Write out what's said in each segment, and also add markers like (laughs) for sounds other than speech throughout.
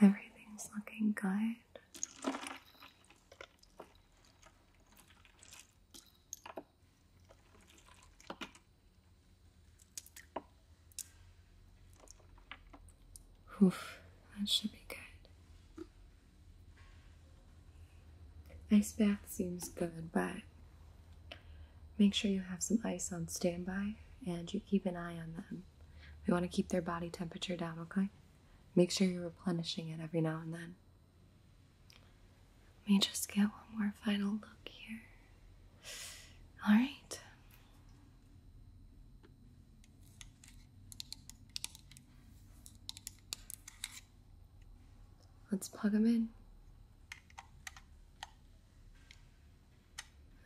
Everything's looking good. Oof, that should be good. Ice bath seems good, but make sure you have some ice on standby and you keep an eye on them. We want to keep their body temperature down, okay? Make sure you're replenishing it every now and then. Let me just get one more final look here. All right. Let's plug them in.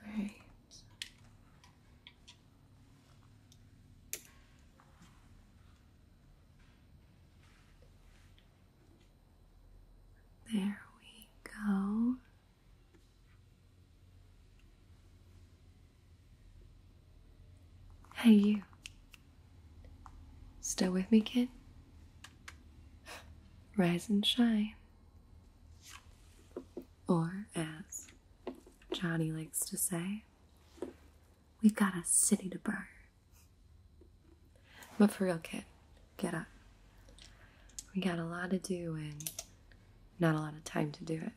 All right. There we go. Hey, you. Still with me, kid? Rise and shine. Or, as Johnny likes to say, we've got a city to burn. But for real, kid, get up. We got a lot to do and not a lot of time to do it.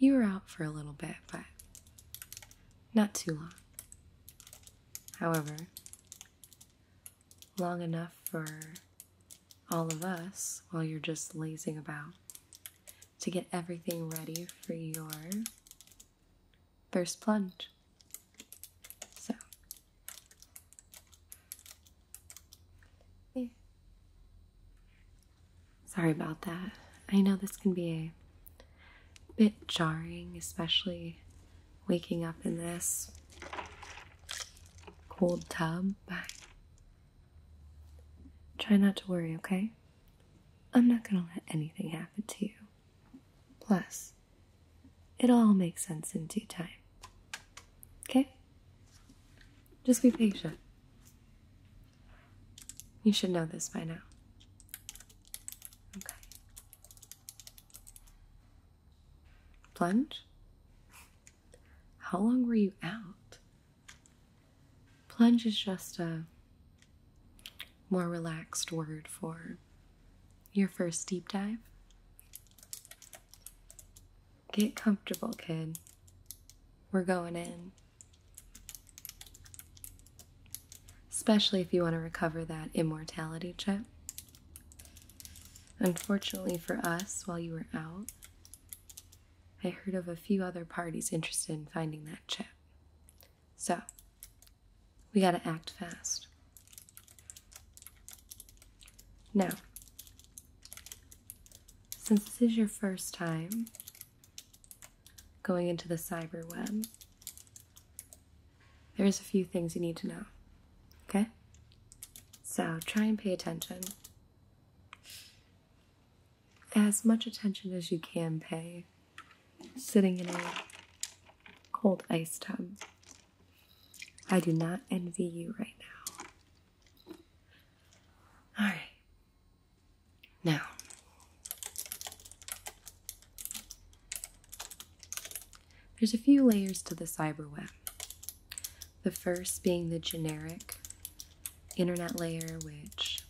You were out for a little bit, but not too long. However, long enough for all of us while you're just lazing about to get everything ready for your first plunge. So, Sorry about that. I know this can be a bit jarring, especially waking up in this cold tub, but try not to worry, okay? I'm not gonna let anything happen to you. Plus, It'll all make sense in due time. Okay? Just be patient. You should know this by now. Okay. Plunge? How long were you out? Plunge is just a more relaxed word for your first deep dive? Get comfortable, kid. We're going in. Especially if you want to recover that immortality chip. Unfortunately for us, while you were out, I heard of a few other parties interested in finding that chip. So, we gotta act fast. Now, since this is your first time going into the cyberweb, there's a few things you need to know, okay? So try and pay attention. As much attention as you can pay sitting in a cold ice tub I do not envy you right now. All right. Now, there's a few layers to the cyber web. The first being the generic internet layer, which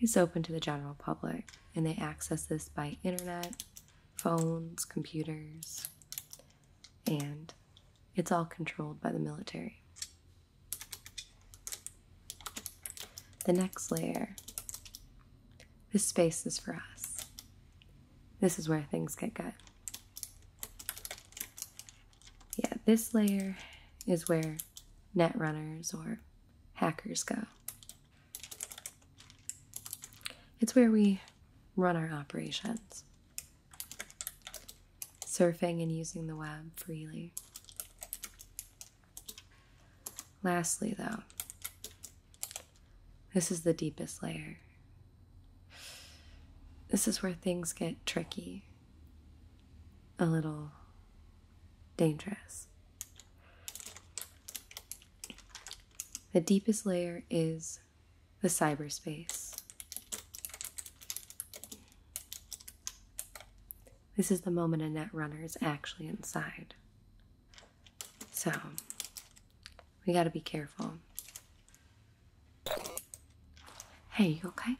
is open to the general public, and they access this by internet, phones, computers, and it's all controlled by the military. The next layer this space is for us. This is where things get good. Yeah, this layer is where net runners or hackers go. It's where we run our operations, surfing and using the web freely. Lastly, though, this is the deepest layer. This is where things get tricky, a little dangerous. The deepest layer is the cyberspace. This is the moment a netrunner is actually inside. So, we gotta be careful. Hey, you okay?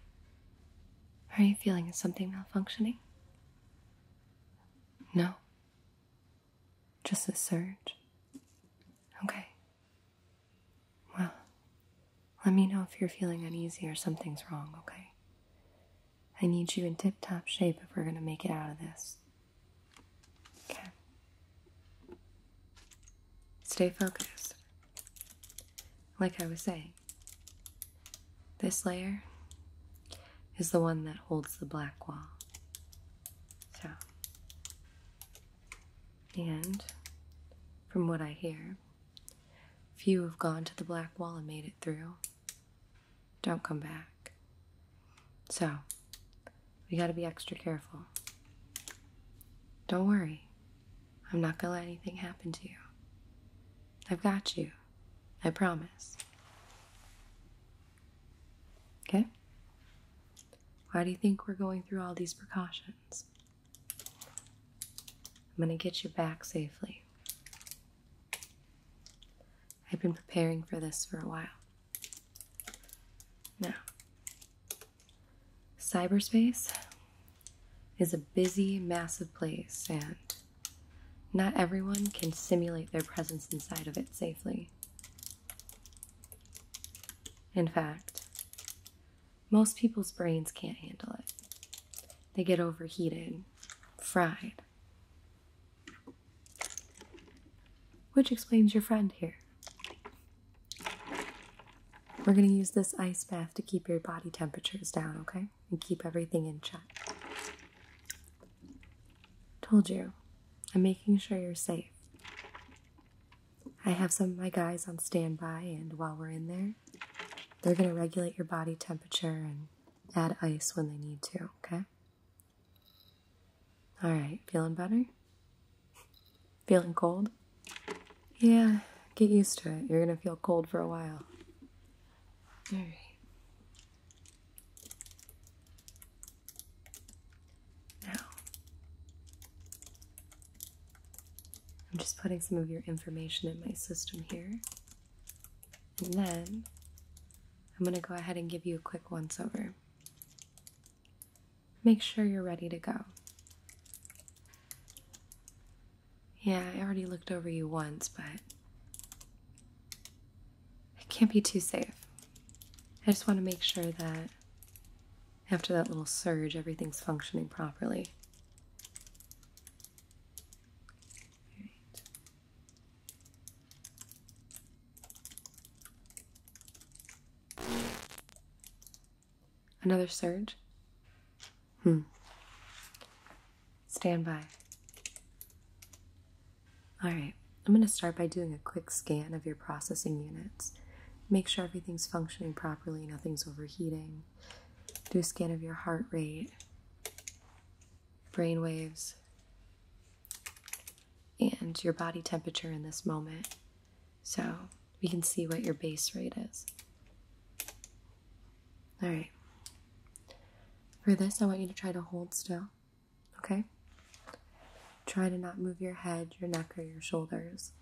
are you feeling? something malfunctioning? No? Just a surge? Okay. Well, let me know if you're feeling uneasy or something's wrong, okay? I need you in tip top shape if we're gonna make it out of this. Okay. Stay focused. Like I was saying, this layer is the one that holds the black wall. So, and from what I hear, few have gone to the Black Wall and made it through. Don't come back. So, we gotta be extra careful. Don't worry. I'm not gonna let anything happen to you. I've got you. I promise. Okay? Why do you think we're going through all these precautions? I'm going to get you back safely. I've been preparing for this for a while. Now, cyberspace is a busy, massive place, and not everyone can simulate their presence inside of it safely. In fact, most people's brains can't handle it. They get overheated, fried. Which explains your friend here. We're going to use this ice bath to keep your body temperatures down, okay? And keep everything in check. Told you, I'm making sure you're safe. I have some of my guys on standby, and while we're in there, they're going to regulate your body temperature and add ice when they need to, okay? Alright, feeling better? Feeling cold? Yeah, get used to it. You're going to feel cold for a while. Alright. Now, I'm just putting some of your information in my system here, and then I'm going to go ahead and give you a quick once over. Make sure you're ready to go. Yeah, I already looked over you once, but it can't be too safe. I just want to make sure that after that little surge, everything's functioning properly. Another surge? Hmm. Stand by. All right, I'm going to start by doing a quick scan of your processing units. Make sure everything's functioning properly, nothing's overheating. Do a scan of your heart rate, brain waves, and your body temperature in this moment so we can see what your base rate is. All right. For this, I want you to try to hold still Okay? Try to not move your head, your neck, or your shoulders.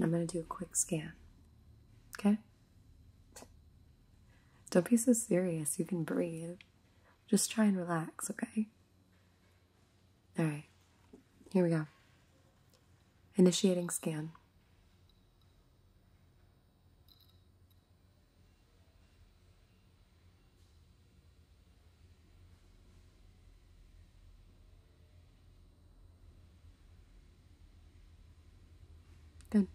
I'm going to do a quick scan. Okay? Don't be so serious. You can breathe. Just try and relax, okay? All right. Here we go. Initiating scan. Good.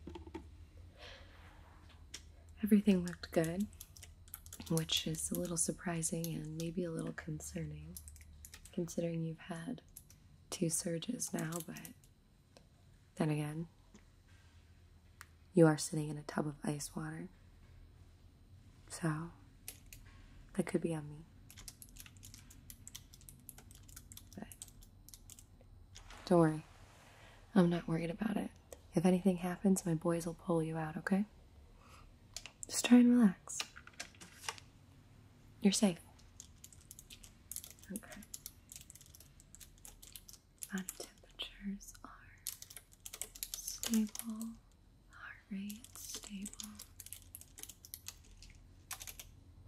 Everything looked good, which is a little surprising and maybe a little concerning, considering you've had two surges now, but then again, you are sitting in a tub of ice water. So, that could be on me. But don't worry. I'm not worried about it. If anything happens, my boys will pull you out, okay? Just try and relax. You're safe. Okay. Body temperatures are stable, heart rate stable,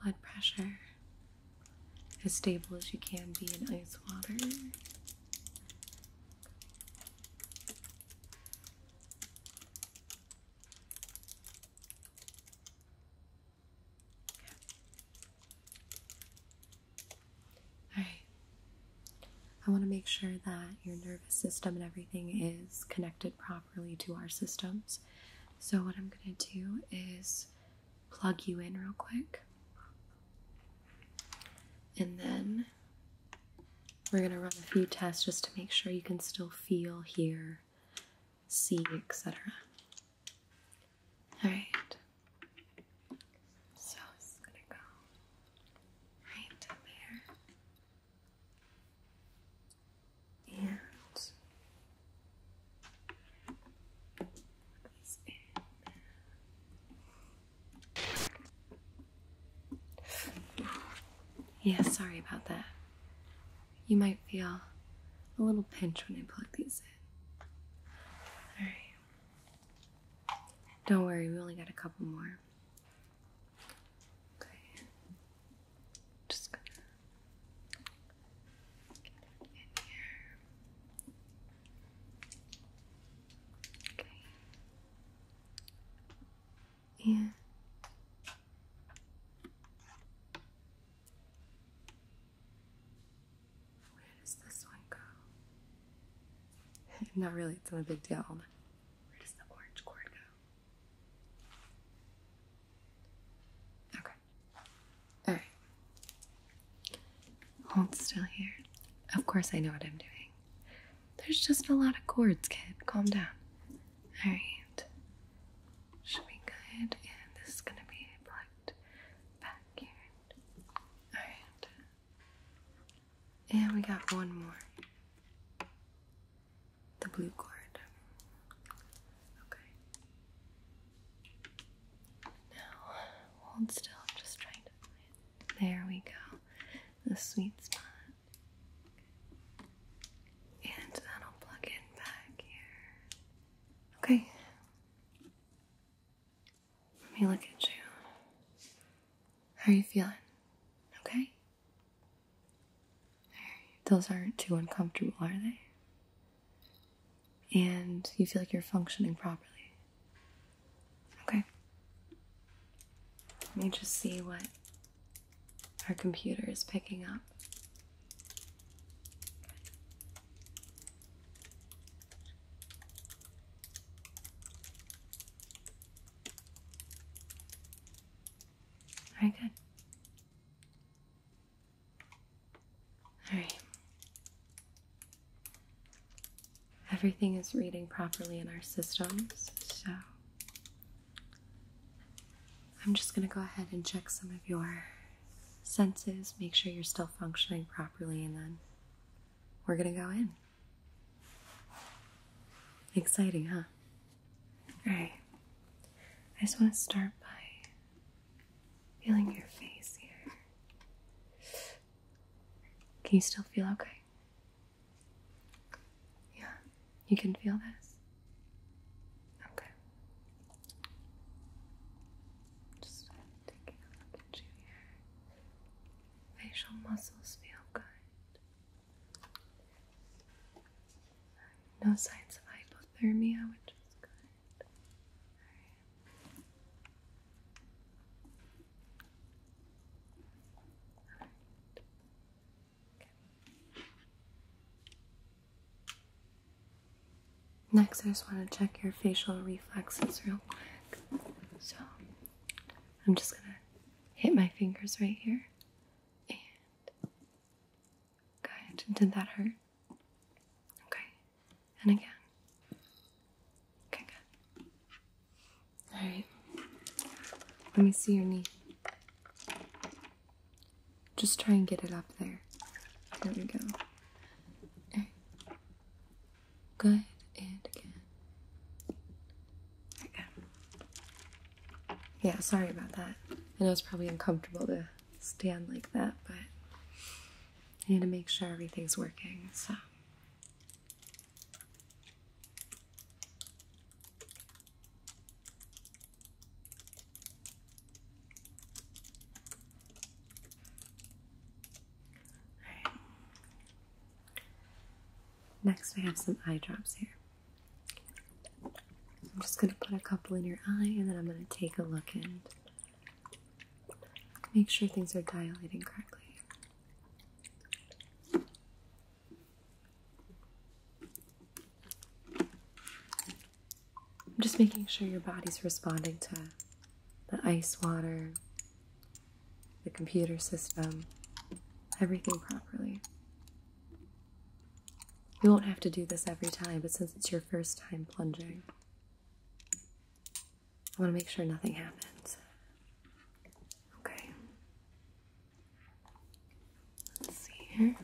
blood pressure as stable as you can be in ice water. Okay. All right. I want to make sure that your nervous system and everything is connected properly to our systems. So, what I'm going to do is plug you in real quick. And then we're going to run a few tests just to make sure you can still feel, hear, see, etc. All right. So it's gonna go right to there and put in. Yeah, sorry about that. You might feel a little pinch when I plug these in. Alright. Don't worry, we only got a couple more. Okay. Just gonna get in here. Okay. Yeah. Where does this one go? (laughs) Not really, it's not a big deal. Where does the orange cord go? Okay. Alright. Hold still here. Of course, I know what I'm doing. There's just a lot of cords, kid. Calm down. Alright. Should be good. this is gonna be plugged back here. Alright. And we got one more the blue cord. Okay. Now, still. just trying to find There we go. The sweet spot. And that'll plug in back here. Okay. Let me look at you. How are you feeling? Okay? Those aren't too uncomfortable, are they? And you feel like you're functioning properly. Okay. Let me just see what our computer is picking up. Very good. All right. Everything is reading properly in our systems, so I'm just going to go ahead and check some of your senses, make sure you're still functioning properly, and then we're going to go in. Exciting, huh? All right. I just want to start by feeling your face here. Can you still feel okay? Yeah, you can feel this. Okay. Just Taking a look at you Facial muscles feel good. No signs of hypothermia, which is good. Next, I just want to check your facial reflexes real quick. So I'm just gonna hit my fingers right here and good. Did that hurt? Okay. And again. Okay, good. Alright. Let me see your knee. Just try and get it up there. There we go. Good. And again. Yeah, sorry about that. I know it's probably uncomfortable to stand like that, but I need to make sure everything's working, so. Next, I have some eye drops here. I'm just going to put a couple in your eye and then I'm going to take a look and make sure things are dilating correctly. I'm just making sure your body's responding to the ice water, the computer system, everything properly. You won't have to do this every time, but since it's your first time plunging, I want to make sure nothing happens. Okay. Let's see here.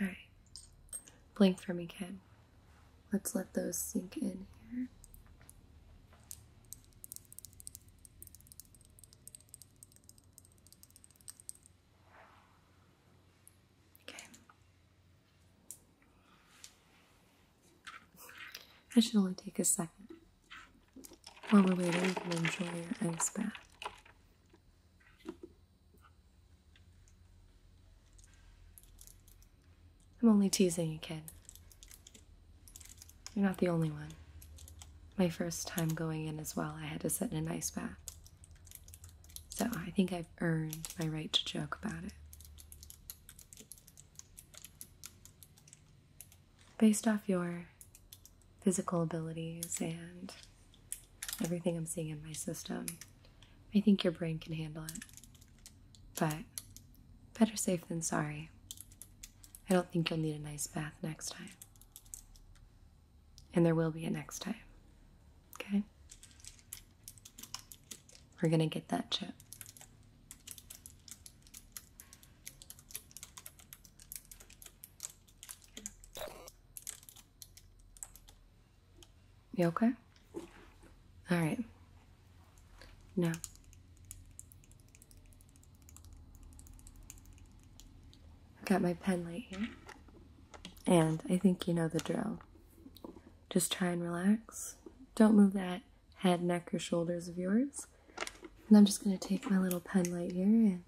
Alright. Blink for me, Ken. Let's let those sink in here. Okay. That should only take a second. While we're waiting, you can enjoy your ice bath. I'm only teasing you, kid. You're not the only one. My first time going in as well, I had to sit in an ice bath. So I think I've earned my right to joke about it. Based off your physical abilities and everything I'm seeing in my system, I think your brain can handle it. But better safe than sorry. I don't think you'll need a nice bath next time. And there will be a next time. Okay? We're gonna get that chip. You okay? All right. No. I've got my pen light here. And I think you know the drill. Just try and relax. Don't move that head, neck, or shoulders of yours. And I'm just going to take my little pen light here and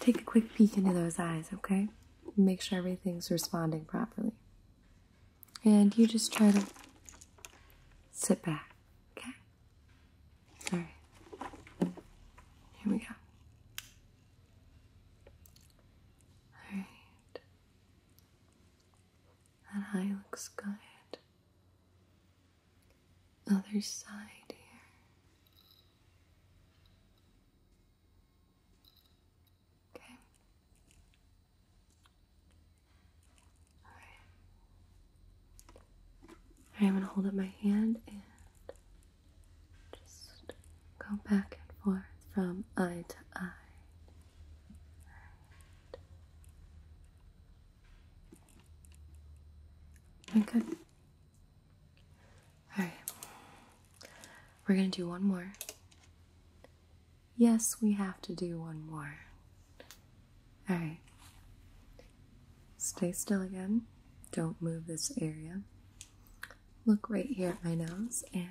Take a quick peek into those eyes, okay? Make sure everything's responding properly. And you just try to sit back, okay? All right. Here we go. All right. That eye looks good. Other side here. Okay. All right. I'm going to hold up my hand and just go back and forth from eye to eye. Right. Alright. We're gonna do one more. Yes, we have to do one more. Alright. Stay still again. Don't move this area. Look right here at my nose, and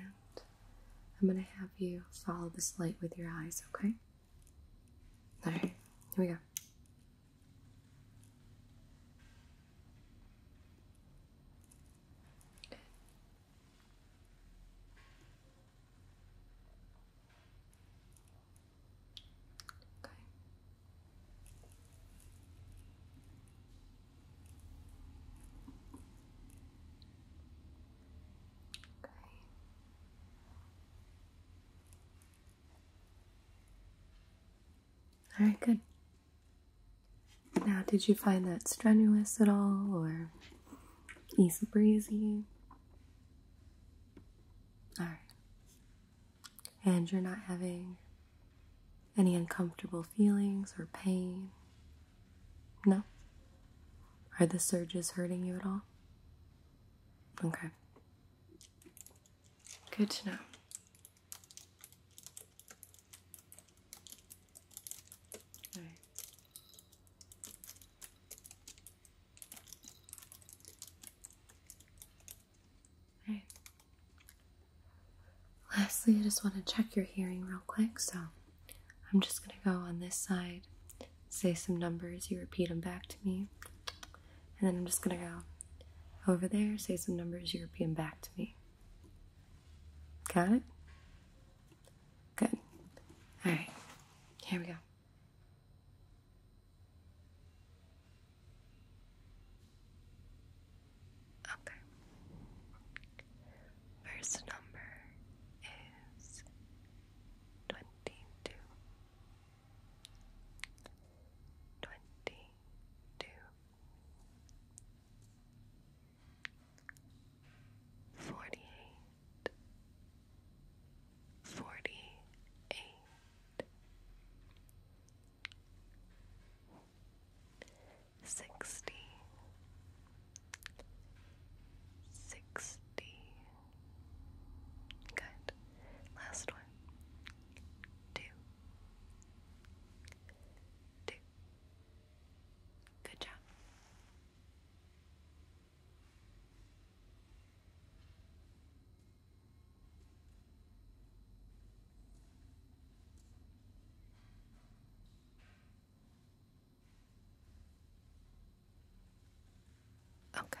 I'm gonna have you follow this light with your eyes, okay? Alright, here we go. Okay. Okay. All right, good. Now, did you find that strenuous at all or easy breezy? Alright. And you're not having any uncomfortable feelings or pain? No? Are the surges hurting you at all? Okay. Good to know. All right. All right. Lastly, I just want to check your hearing real quick, so I'm just going to go on this side, say some numbers, you repeat them back to me, and then I'm just going to go over there, say some numbers European back to me. Got it? Good. Alright, here we go. Okay. First number is twenty two. Twenty two. Forty-eight, forty-eight, sixty, sixty. Good. Last one. Two, Good job. Okay.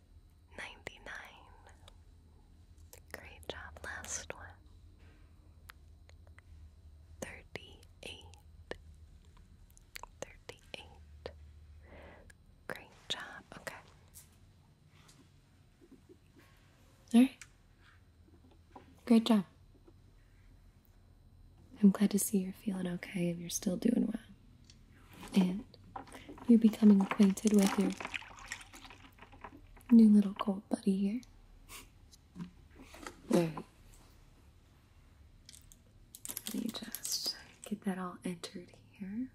99. Great job. Last one. 38. 38. Great job. Okay. All right. Great job. I'm glad to see you're feeling okay and you're still doing well. And you're becoming acquainted with your New little cold buddy here. Let me just get that all entered here.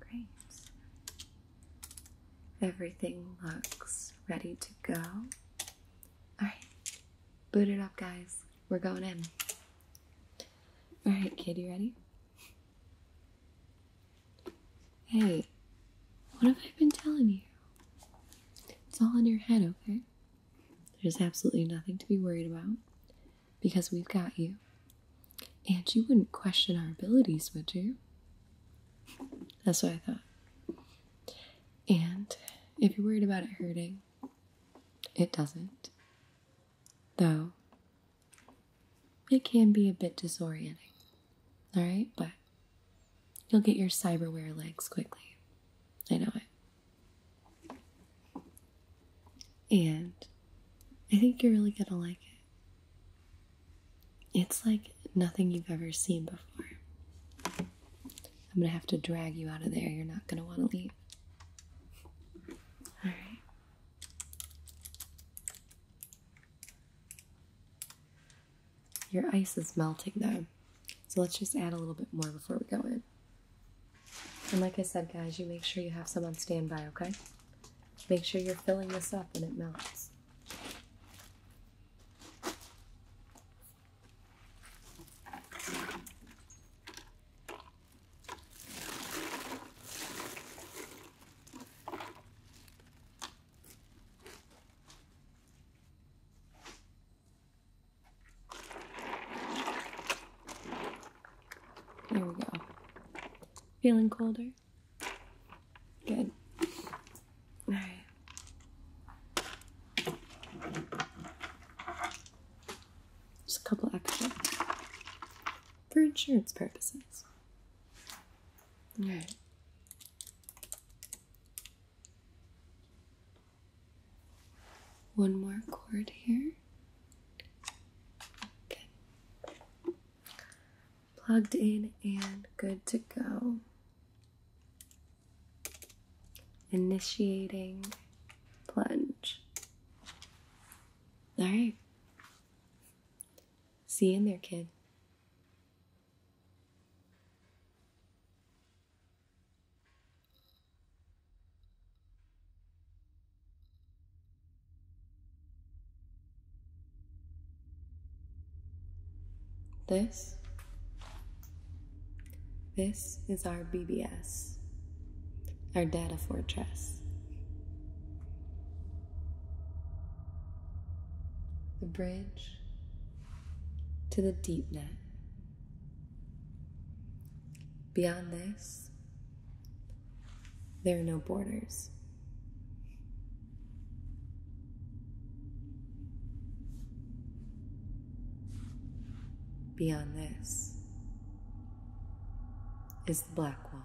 Great. Everything looks ready to go. Alright, boot it up, guys. We're going in. Alright, kid, you ready? Hey, what have I been telling you? It's all in your head, okay? There's absolutely nothing to be worried about because we've got you. And you wouldn't question our abilities, would you? That's what I thought. And if you're worried about it hurting, it doesn't. Though, it can be a bit disorienting. Alright? But you'll get your cyberware legs quickly. I know it. And I think you're really gonna like it. It's like nothing you've ever seen before. I'm gonna have to drag you out of there. You're not gonna wanna leave. Alright. Your ice is melting though. So let's just add a little bit more before we go in. And like I said, guys, you make sure you have some on standby, okay? Make sure you're filling this up and it melts. There we go. Feeling colder? Good. All right. Just a couple extra for insurance purposes. All right. One more chord here. Good. Plugged in and good to go. Initiating plunge. All right. See you in there, kid. This, this is our BBS, our data fortress. The bridge to the deep net. Beyond this there are no borders. Beyond this is the black wall.